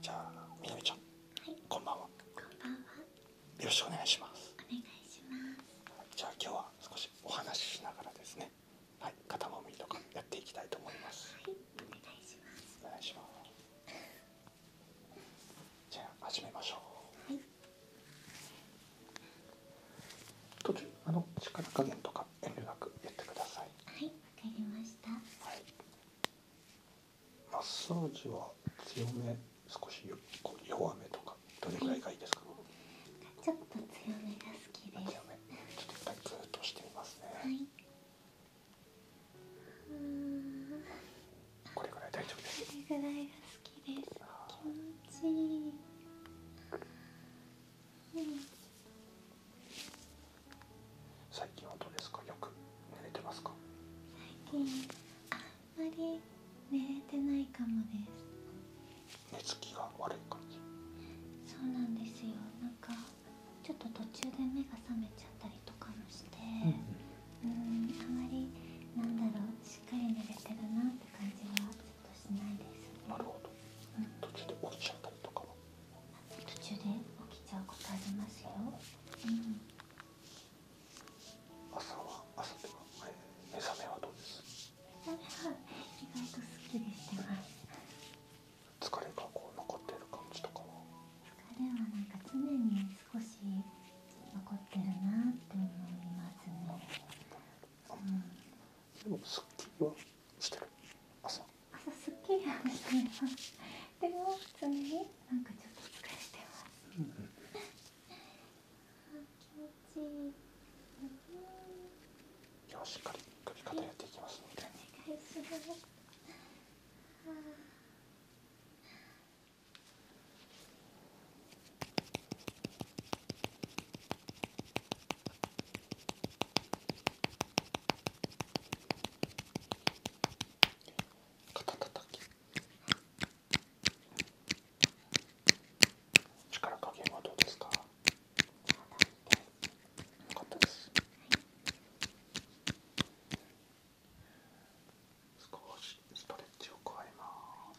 じゃみなみちゃん、こんばんはよろしくお願いしますじゃ今日は少しお話しながらですねはい、肩揉みとかやっていきたいと思いますしますおじゃ始めましょうあの力加減とか遠慮なくやってくださいかりましたはマッサージは強め少し弱めとかどれぐらいがいいですか、ちょっと強めが好きですはいこれぐらい大丈夫ですこれぐらいが好きです気持ちいい最近はどうですかよく寝れてますか最近あんまり寝れてないかもです寝つきが悪い感じそうなんですよなんかちょっと途中で目が覚めちゃったりとかもして、うん、ん、あまりなんだろうしっかり寝れてるなって感じはちょっとしないですなうん、途中で落ちちゃったりとか途中で起きちゃうことありますよ、うん、朝は朝では、目覚めはどうです目意外とすっきりしてます疲れがこう残ってる感じとかは疲れはなんか常に少し残ってるなって思いますね、うん、でもすっきりはしてる朝朝すっきりはしていまでも常になんかちょっと疲れてます気持ちいい今日しっかりやっていきますお願いします肩たたき力加減はどうですかよかったです少しストレッチを加えます。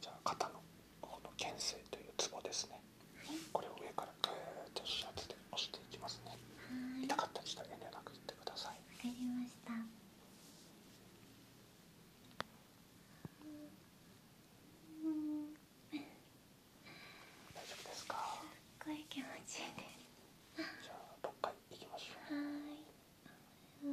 じゃあ肩のこの牽制というツボですね、これを上からグーッと指圧で押していきますね痛かったりしたら遠慮なくてくださいわかりました大丈夫ですかすっごい気持ちいいですじゃあ6回いきましょう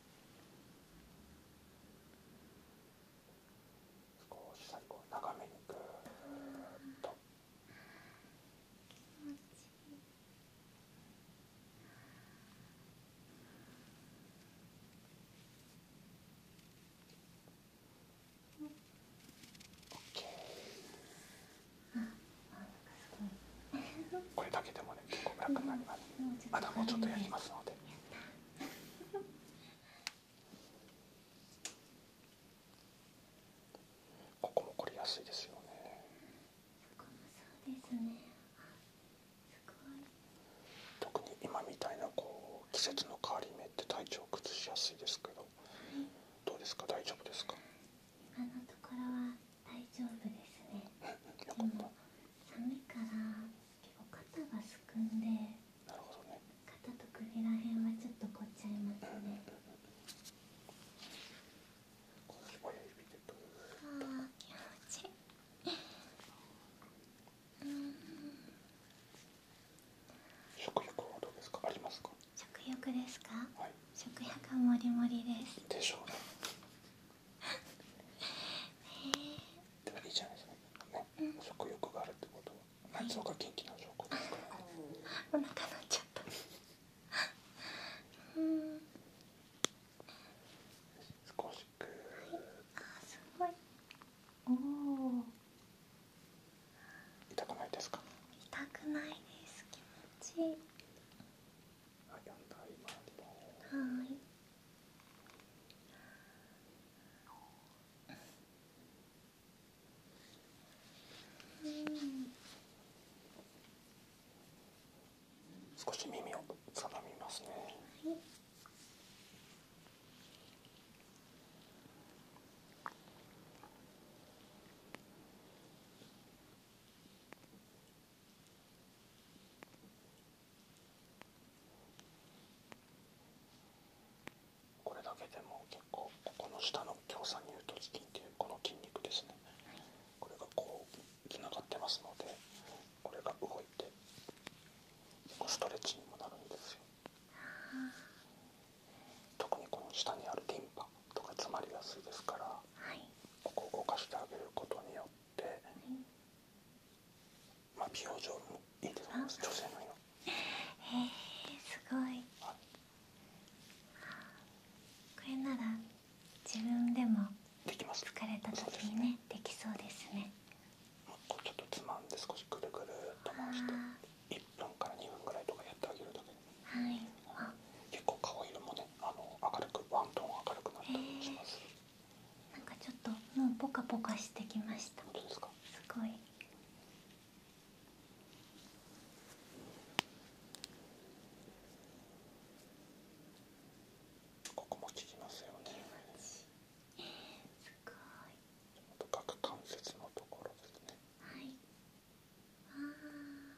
少し最後長めにぐーっとこれだけでもね結構楽になりますまだもうちょっとやりますので。ってここも凝りやすいですよねここもそうですね特に今みたいなこう季節の変わり目って体調を崩しやすいですけど、どうですか大丈夫ですか今のところは大丈夫ですね寒いから肩がすくんで肩と首らへんはちょっと凝っちゃいますねあ気持ちいいうん食欲ですか食欲ですか、食欲はもりもりですしょうえー、あれじゃないですかね、うん、食欲があるってことは内臓が元気な証拠ですから、ね、お腹鳴っちゃったうん少しくあすごいおお痛くないですか痛くないです気持ちいいあ、四台回りますはい少し耳をつかみますね、はい、これだけでも結構ここの下の強酸乳突筋っていうこの筋肉ですね、これがこうつながってますのでこれが動いて結構ストレッチにもなるんですよ特にこの下にあるリンパとか詰まりやすいですから、ここを動かしてあげることによって。っまあ、美容もいえすごいこれなら自分でも疲れた時にねできそうですねちょっとつまんで少しくるくるっと回して1分から2分ぐらいとかやってあげるだけはい、結構顔色もねあの明るくワントーン明るくなったりします、なんかちょっともうポカポカしてきましたすごいここも効きますよねすごい深関節のところですねはいあ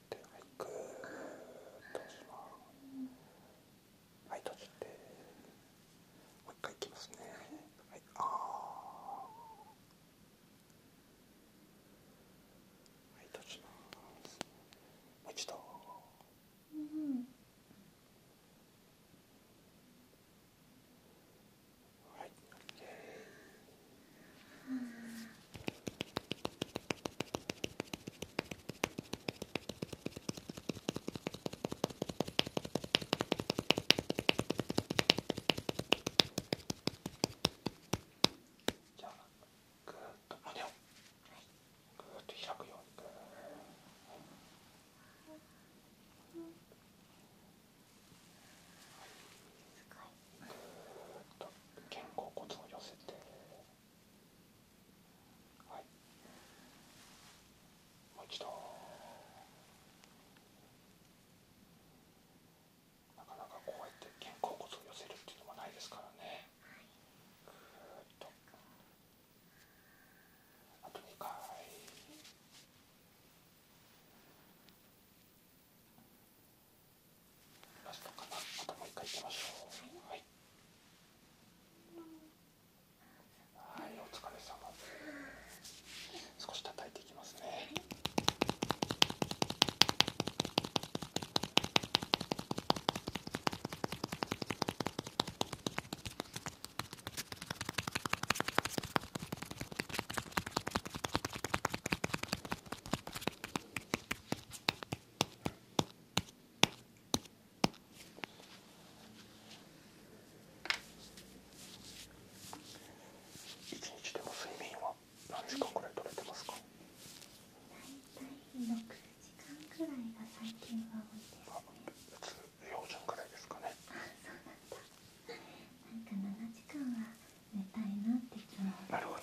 けはいぐーっとしますはい閉じてもう一回いきますねはいあはい閉じますもう一度うんはい、OK、じゃあぐーっと胸をぐーっと開くようにぐーっと肩甲骨を寄せて。はい、もう一度なかなかこうやって肩甲骨を寄せるっていうのもないですからねぐーっとあと2回ラストかなまたもう一回いきましょうはい、お疲れ様で少し叩いていきますねはい、一日でも睡眠は何時間くらい取れてますか大体6時間くらいが最近は多いです4時間らいですかねなんか7時間は寝たいなってなるほど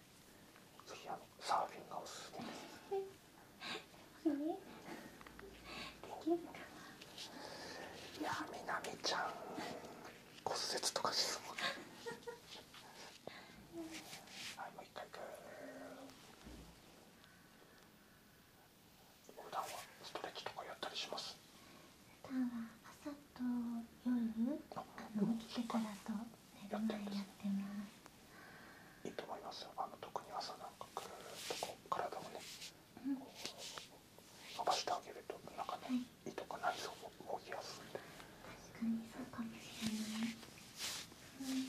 次あサーフィンがおすすめですいやみなみちゃん骨折とかはいもう一回普段はストレッチとかやったりしますと夜あの起てからと寝る前やってますいいと思いますあの特に朝なんかぐーっとこ体をね、うん、伸ばしてあげるとなんかね、い、とか内臓も動きやすい確かにそうかもしれない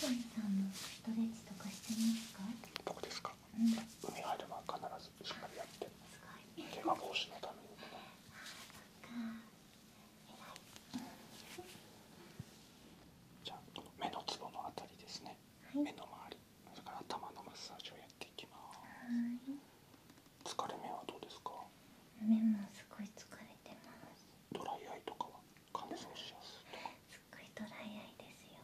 トミ、うん、さ海入る前必ずしっかりやって怪我防止のためにじゃあ目のツのあたりですね、目の周り頭のマッサージをやっていきます疲れ目はどうですか目もすごい疲れてますドライアイとかは乾燥しやすいすっごいドライアイですよ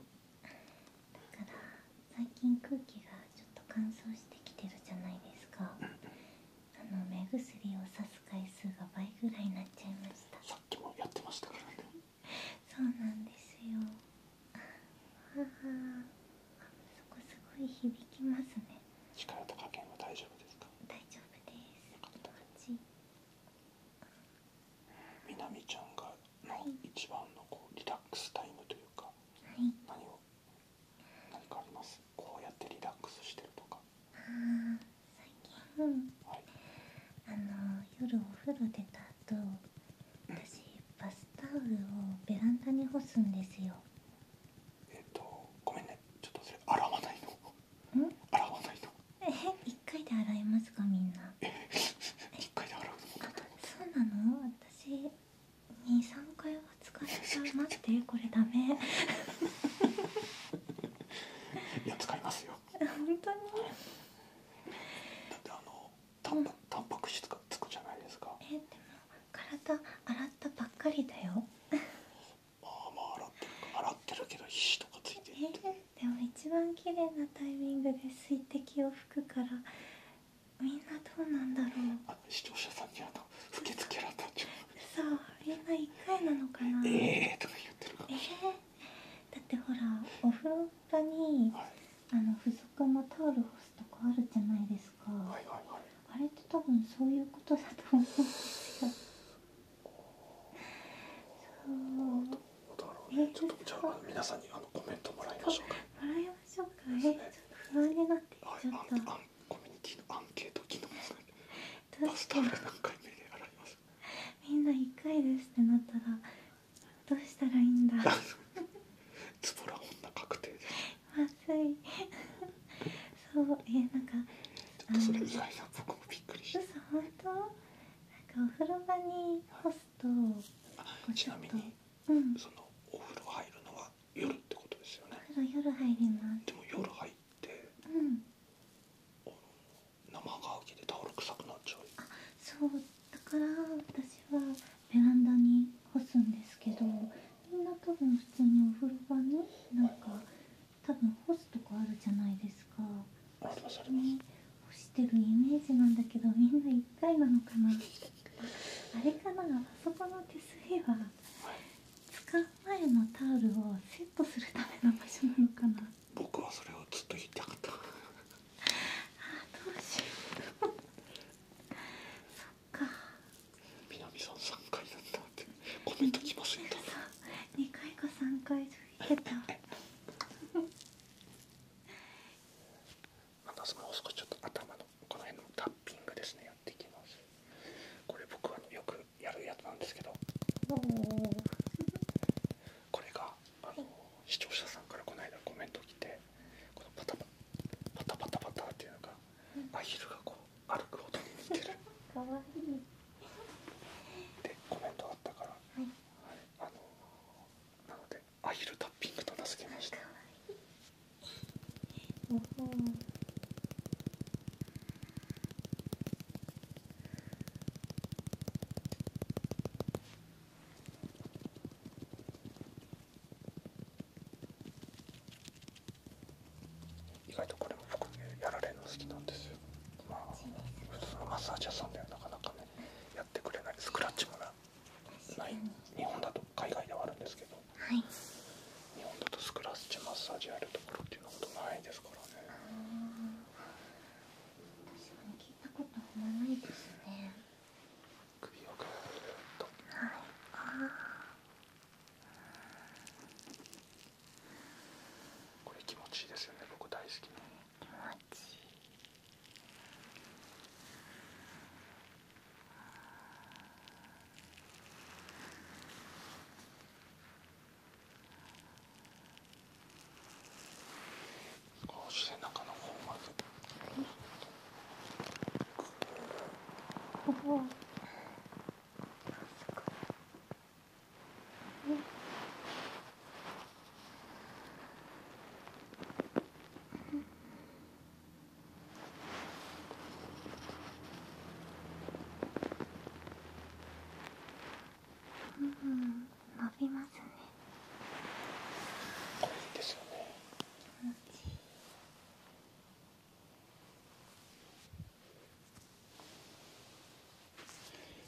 だから最近空気がちょっと乾燥してきてるじゃないですかあの目薬をさす回数が倍ぐらいになっちゃいましたさっきもやってましたからねそうなんですよああそこすごい響きますね力と加減は大丈夫ですか大丈夫です気持ちいいちゃんがの一番のこうリラックスタイムというか、はい、何を何かありますこうやってリラックスしてるとかあ最近、あの夜お風呂出た後私バスタオルをベランダに干すんですよえっとごめんねちょっとそ洗わないえ一回で洗いますかみんな一うそうなの私23回は使っちゃう待ってこれダメいや使いますよ本当にでも体洗ったばっかりだよまあまあ洗ってるけど皮とかついえでも一番綺麗なタイミングで水滴を拭くからみんなどうなんだろうだってほらお風呂場に、あの付属のタオル干すとこあるじゃないですか、あれって多分そういうことだと思うんですよ そうどうねちょっと皆さんにあのコメントもらいましもらいましょうか、不安になってちゃった、コミュニティのアンケート機能出すため何回目で洗いますみんな一回ですってなったらどうしたらいいんだつぼら女確定まずい そうえー、なんかちょっ外な僕もびっくりし本当なんかお風呂場に干すと、ちなみに、うん、そのお風呂入るのは夜ってことですよね夜入りますでも夜入って、生乾きでタオル臭くなっちゃうそうだから私はベランダに干すんですけどみんな多分普通にお風呂場になんか多分干すとこあるじゃないですかありま干してるイメージなんだけどみんな1回なのかなあれかなあそこの手すりは使う前のタオルをセットするための場所なのかな僕はそれをずっと言いたかったああどうしようそっか南さん3回だったってコメント来ませんか2回か3回続いてたいまたその少しちょっと頭のこの辺のタッピングですねやっていきますこれ僕はよくやるやつなんですけどこれがあの視聴者さんからこの間コメント来てこのパタパタパタパタっていうのがアヒルがこう歩く音に似てるかわいでコメントあったから、はい、あのなのでアヒルタッピングと名付けました意外とこれも僕ねやられるの好きなんですよまあ普通のマッサージ屋さんではなかなかねやってくれないスクラッチもなない日本だと海外ではあるんですけど、はい、日本だとスクラッチマッサージやるところっていうことないですからね確かに聞いたことないですね首をぐーっとこれ気持ちいいですよね僕大好き気持ちうし背中の方まで。うん伸びますねこれですよね最後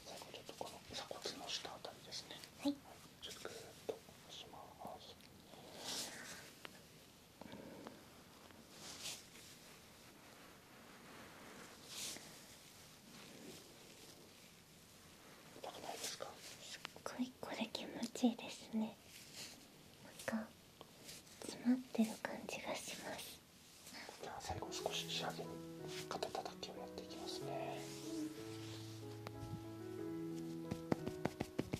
ちょっとこの鎖骨の下あたりですねはい、ちょっとグーッとします痛くないですかすっごいこれ気持ちいいですねなんか詰まってる感じがしますじゃあ最後少し仕上げに肩たたきをやっていきますね頭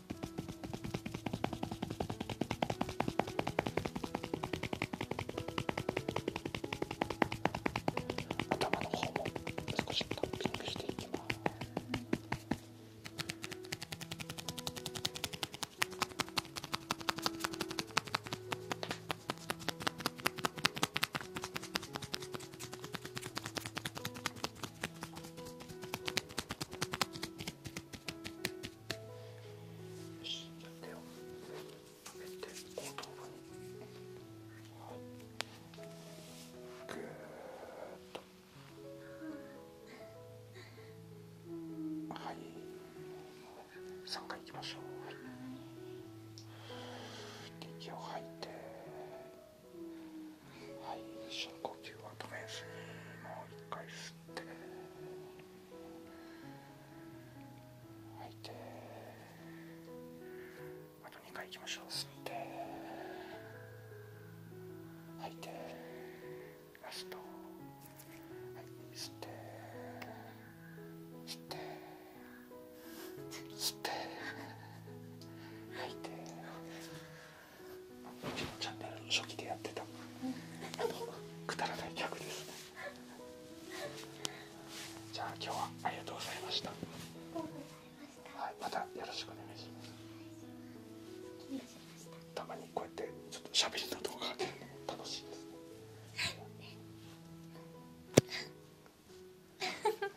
の方も少しタッピングしていきます。し手を上げて後頭部にはいぐっとはい3回いきましょう、はい、息を吐いて。はい深呼吸は止めずにもう一回吸って吐いてあと2回いきましょう吸って吐いてラストはい吸って吸って吸って吐いて。「チャンネル」初期でやってたくだらない客ですじゃあ今日はありがとうございましたはいまたよろしくお願いしますにこうやってちょっとしゃべりの動画が楽しいですね